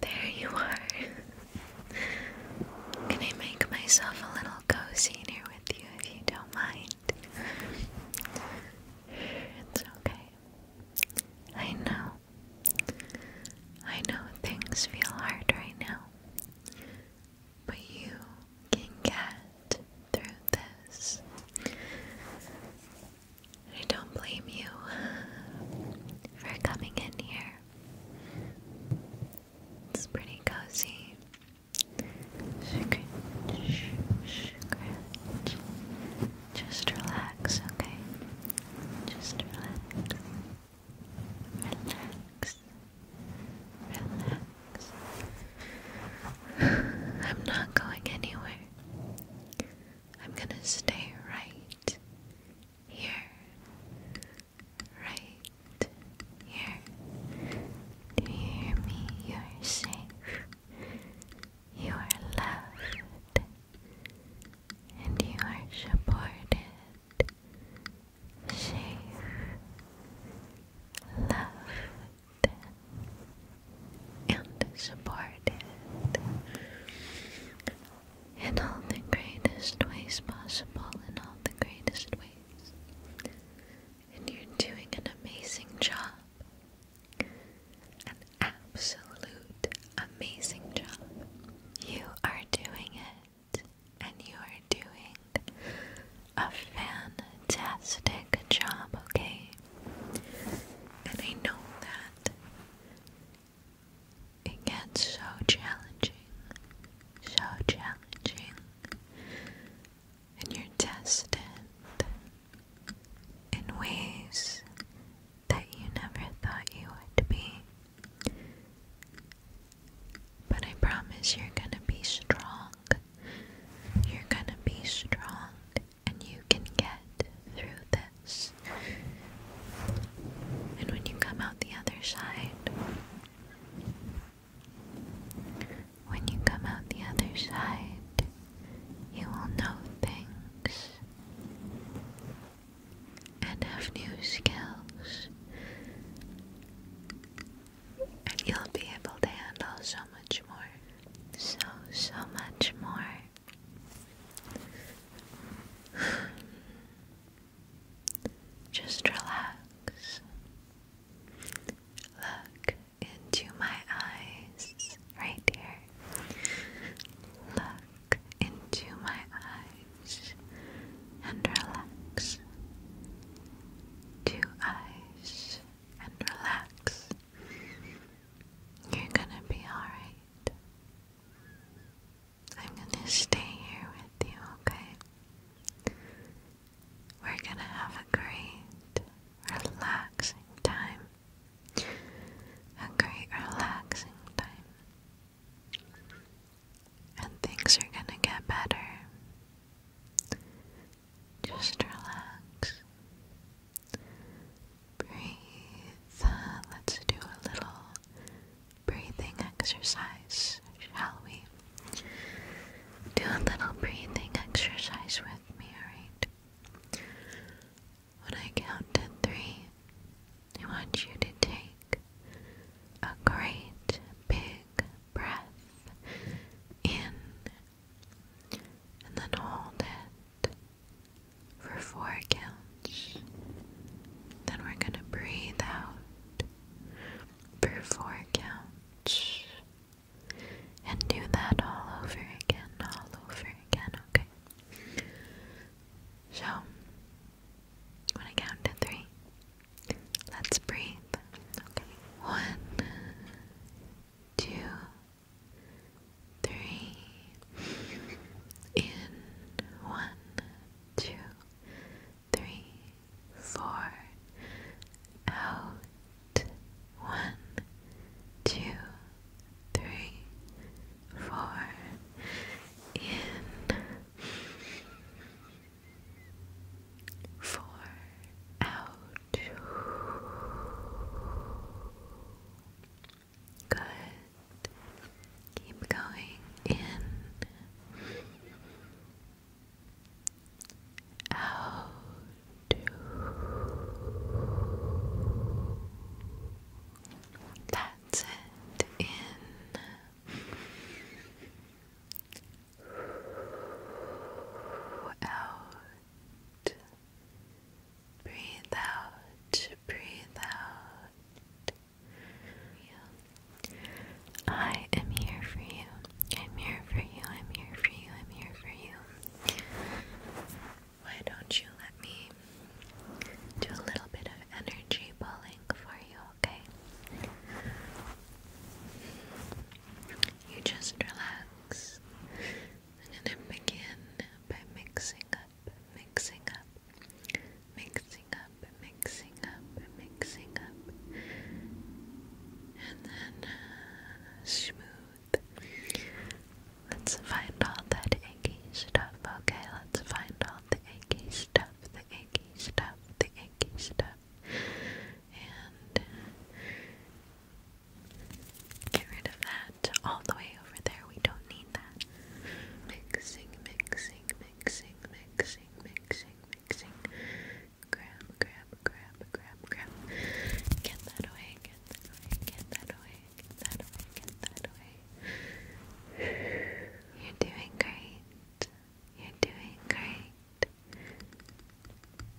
There you are. Can I make myself a little cozy here with you if you don't mind? It's okay. I know. I know things feel hard right now but you can get through this. I don't blame you for coming in here. It's pretty cozy. Scratch, scratch. Just relax, okay? Just relax. Relax. Relax. I'm not going anywhere. I'm gonna stay right here. Right here. Do you hear me? You are safe. You are loved. And you are supported safe, loved, and supported in all the greatest ways possible, in all the greatest ways. And you're doing an amazing job. An absolute amazing job. You are doing it and you are doing a fantastic job, okay? And I know that it gets so challenging, so challenging, and you're tested in ways that you never thought you would be. But I promise you're gonna be strong. You're gonna be strong and you can get through this. And when you come out the other side, when you come out the other side, you will know things and have new skills, and you'll be able to handle so much more. So, so much more. Just relax. Look into my eyes right here. Look into my eyes and relax. Two eyes and relax. You're gonna be alright. I'm gonna stay here with you, okay? We're gonna have a great, relaxing time. A great, relaxing time. And things are gonna get better. Just relax. Breathe. let's do a little breathing exercise, shall we? Do a little breathing exercise with me, alright? When I count to three, I want you to take a great big breath in and then hold it for four counts. Then we're going to breathe out for four counts and do that all over again, all over again, okay? So, when I count to three, Let's breathe. Okay. One, two, three. In one, two, three, four. Out. One, two, three, four. In four out. Good. Keep going in. Out. That's it. In out. Breathe out, breathe out. I am here for you. I'm here for you. I'm here for you. I'm here for you. Why don't you let me do a little bit of energy pulling for you, okay? You just relax and then begin by mixing up, mixing up, mixing up, mixing up, mixing up, and then uh, smooth. Let's find all that icky stuff, okay? Let's find all the icky stuff, the icky stuff, the icky stuff, and get rid of that all the way over there. We don't need that. Mixing, mixing, mixing, mixing, mixing, mixing. Grab, grab, grab, grab, grab. Get that away, get that away, get that away, get that away, get that away. You're doing great. You're doing great.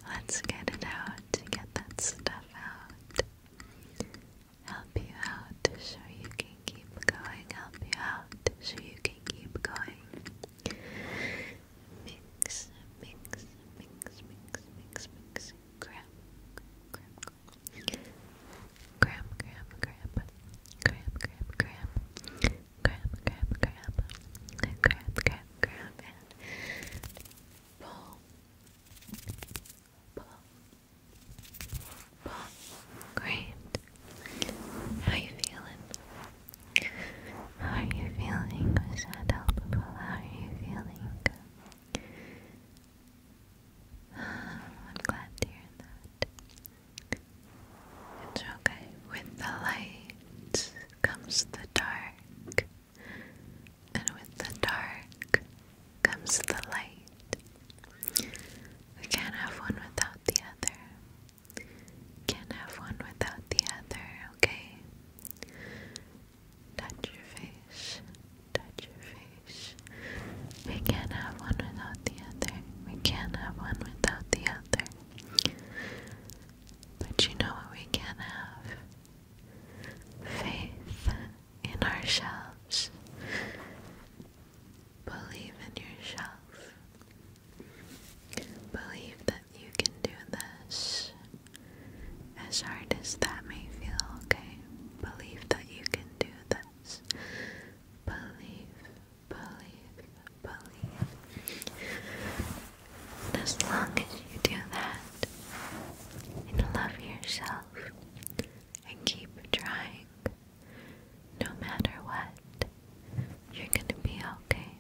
Let's get it out, get that stuff out. Help you out so you can keep going. Help you out so you can keep going. Mix, mix, mix, mix, mix, mix. Grab, grab, grab, grab, grab, grab, grab, grab, grab grab, grab, grab, grab, grab, grab, How you feeling? How are you feeling? Was that helpful? How are you feeling? I'm glad to hear that. It's okay. With the light comes the dark, and with the dark comes the light. We can't have one without the other. Can't have one without the other, okay? Touch your face, touch your face. We can't have one without the other. We can't have one without the other. But you know what we can have? Faith in ourselves. Believe in yourself. Believe that you can do this. As hard as that may feel, okay? Believe that you can do this. Believe believe, believe. as long as you do that, and love yourself, and keep trying, no matter what, you're gonna be okay.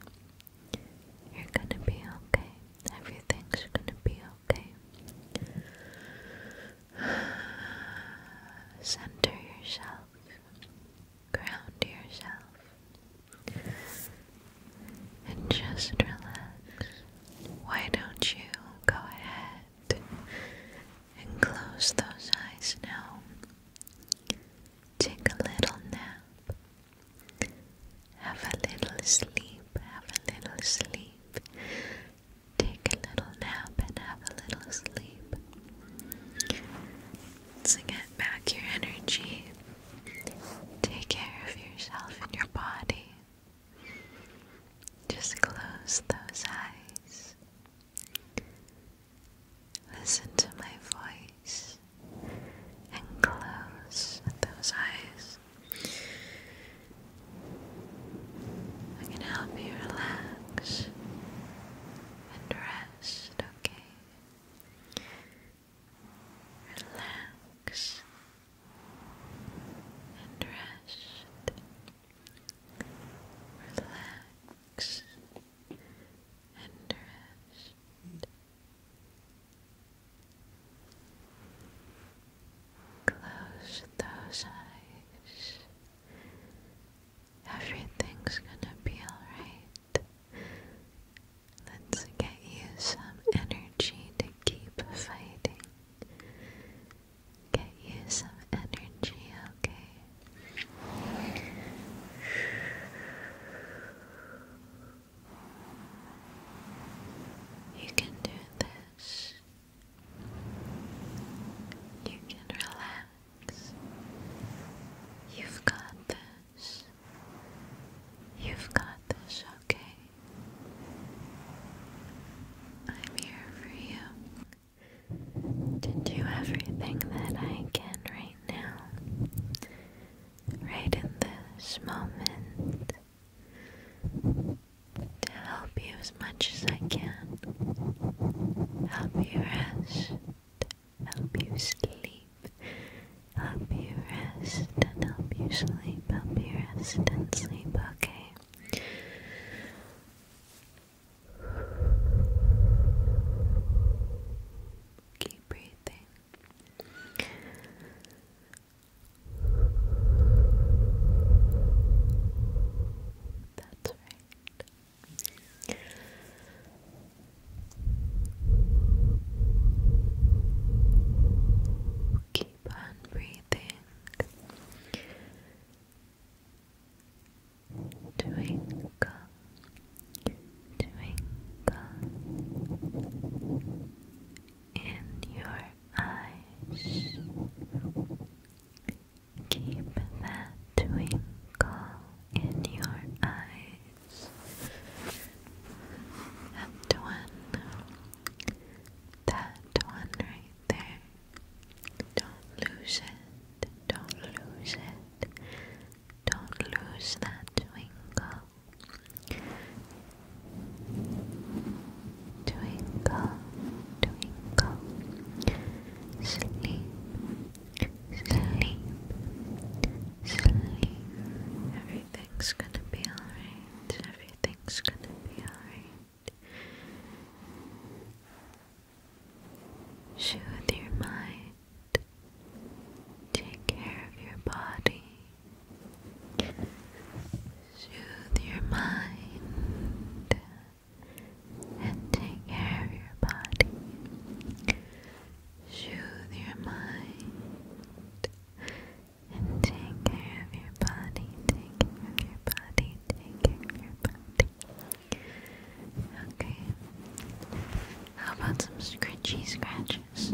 You're gonna be okay. Everything's gonna be okay. Center yourself ground yourself and just relax. Why don't you go ahead and close those eyes now? Take a little nap. Have a little sleep. Have a little sleep. Take a little nap and have a little sleep to get back your energy. Take care of yourself and your body. Just close those eyes. Listen to my voice and close those eyes. I can help you relax and rest rest, okay? Relax and rest. Relax and rest. Close those eyes Everything's gonna be alright. Let's get you some energy to keep fighting. Get you some energy, okay? You can do this. You can relax. You've got this. You've got this, okay? I'm here for you to do everything that I can right now, right in this moment, to help you as much as I can, help you rest, help you sleep, help you rest, and help you sleep, help you rest and sleep, okay? Keep breathing. That's right. Keep on breathing, twinkle, twinkle in your eyes. Keep that twinkle in your eyes. That one. That one right there. Don't lose it. Don't lose it. Don't lose that twinkle. Twinkle, twinkle, sleep, Sleep. Sleep. Everything's gonna be alright. Everything's gonna be alright. Soothe your mind. Take care of your body. Soothe your mind and take care of your body. Soothe your mind and take care of your body. Take care of your body. Take care of your body. Okay. How about some scratchy scratches?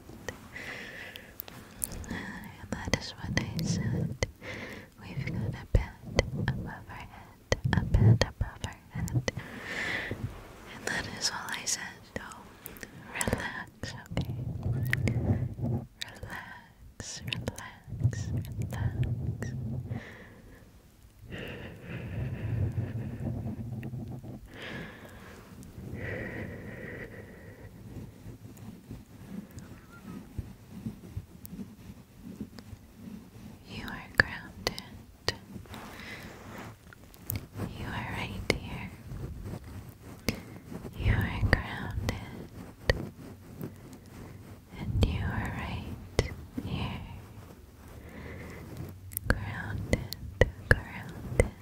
Uh, that is what I said. We've got a bed above our head, a bed above our head. And that is all I said. Oh, relax, okay? Relax, relax, relax. You are grounded. You are right here. You are grounded. And you are right here. Grounded, grounded,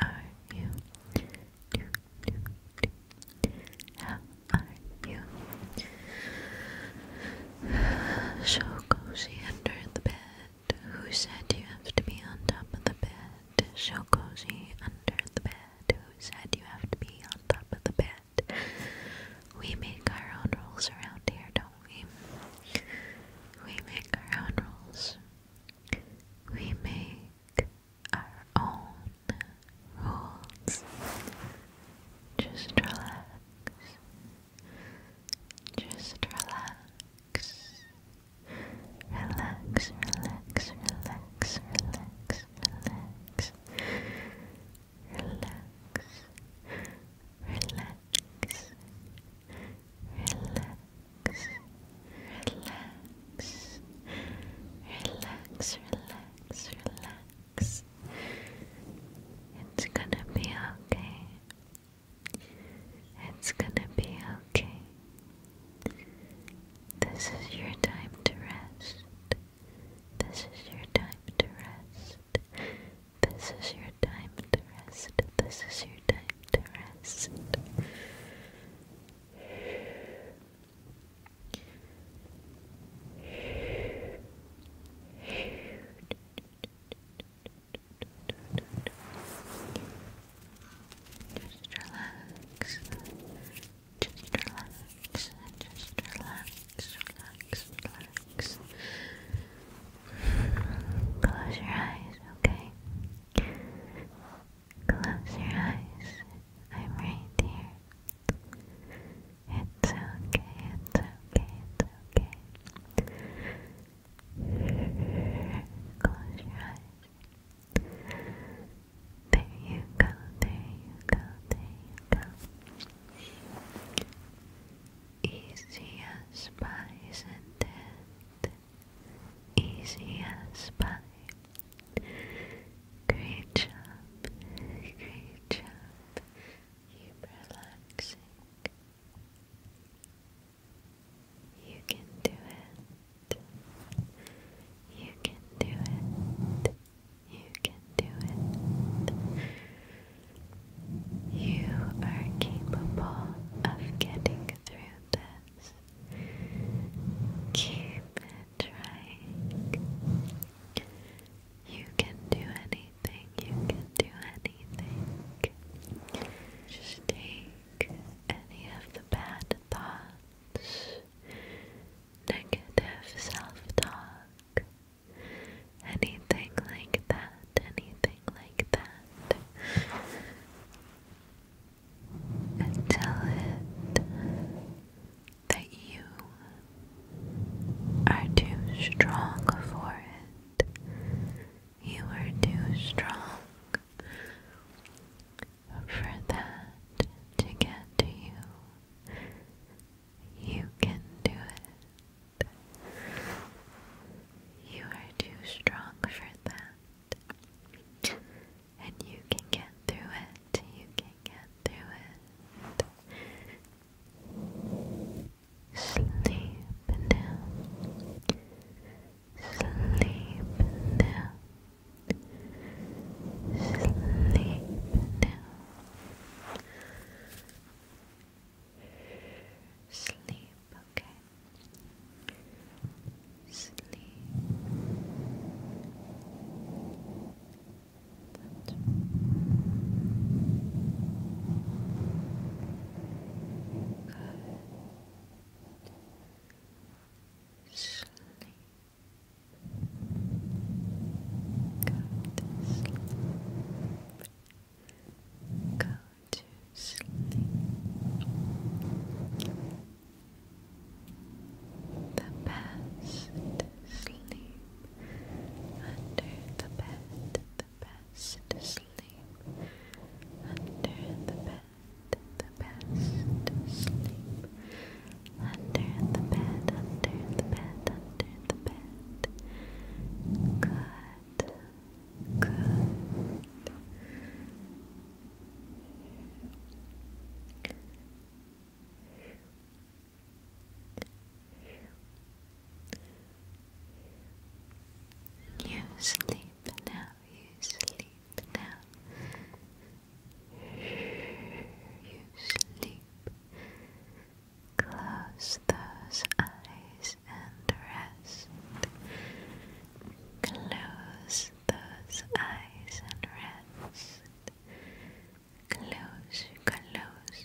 are you? Do, do, do. How are you? So cozy under the bed. Who said you have to be on top of the bed? So cozy under the bed. Who said you have to be on top of the bed? We make our own rules around here, don't we? We make our own rules. We make our own rules. Just relax. Just relax. Relax, relax, relax, relax, relax. Relax. Relax. Relax relax, relax, relax, relax. It's gonna be okay. It's gonna be okay. This is your time to rest. This is your time to rest. This is your time to rest. This is your time just relax. Just relax. Just relax. Relax. Relax. Close your eyes, okay? Close your eyes. I'm right here. It's okay, it's okay, it's okay. Close your eyes. There you go, there you go, there you go. Easy as pie, isn't it? Easy as pie. Great job. Great job. Keep relaxing. You can do it. You can do it. You can do it. You are capable of getting through keep it trying. You can do anything, you can do anything. Just take any of the bad thoughts, negative self talk, anything like that, anything like that and tell it that you are too strong for it. You are too strong for that to get to you. You can do it. You are too strong for that. And you can get through it. You can get through it. Sleep now. Sleep now. Sleep now. Sleep Okay. Sleep. Good. Sleep. Go sleep. Go to sleep. The best sleep under the bed. The best sleep under the bed. The best sleep under the bed. Under the bed. Under the bed. Good. You sleep now, you sleep now. You sleep. Close those eyes and rest. Close those eyes and rest. Close, close, close, close.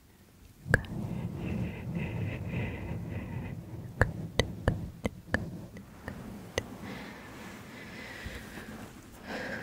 Good. Good, good, good, good. Relax. Relax. Relax.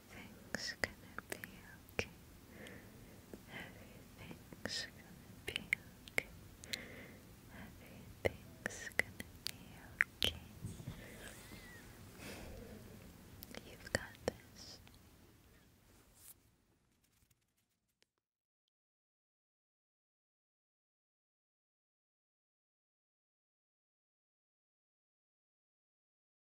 Things gonna be okay. Everything's gonna be okay. Everything's gonna be okay. You've got this.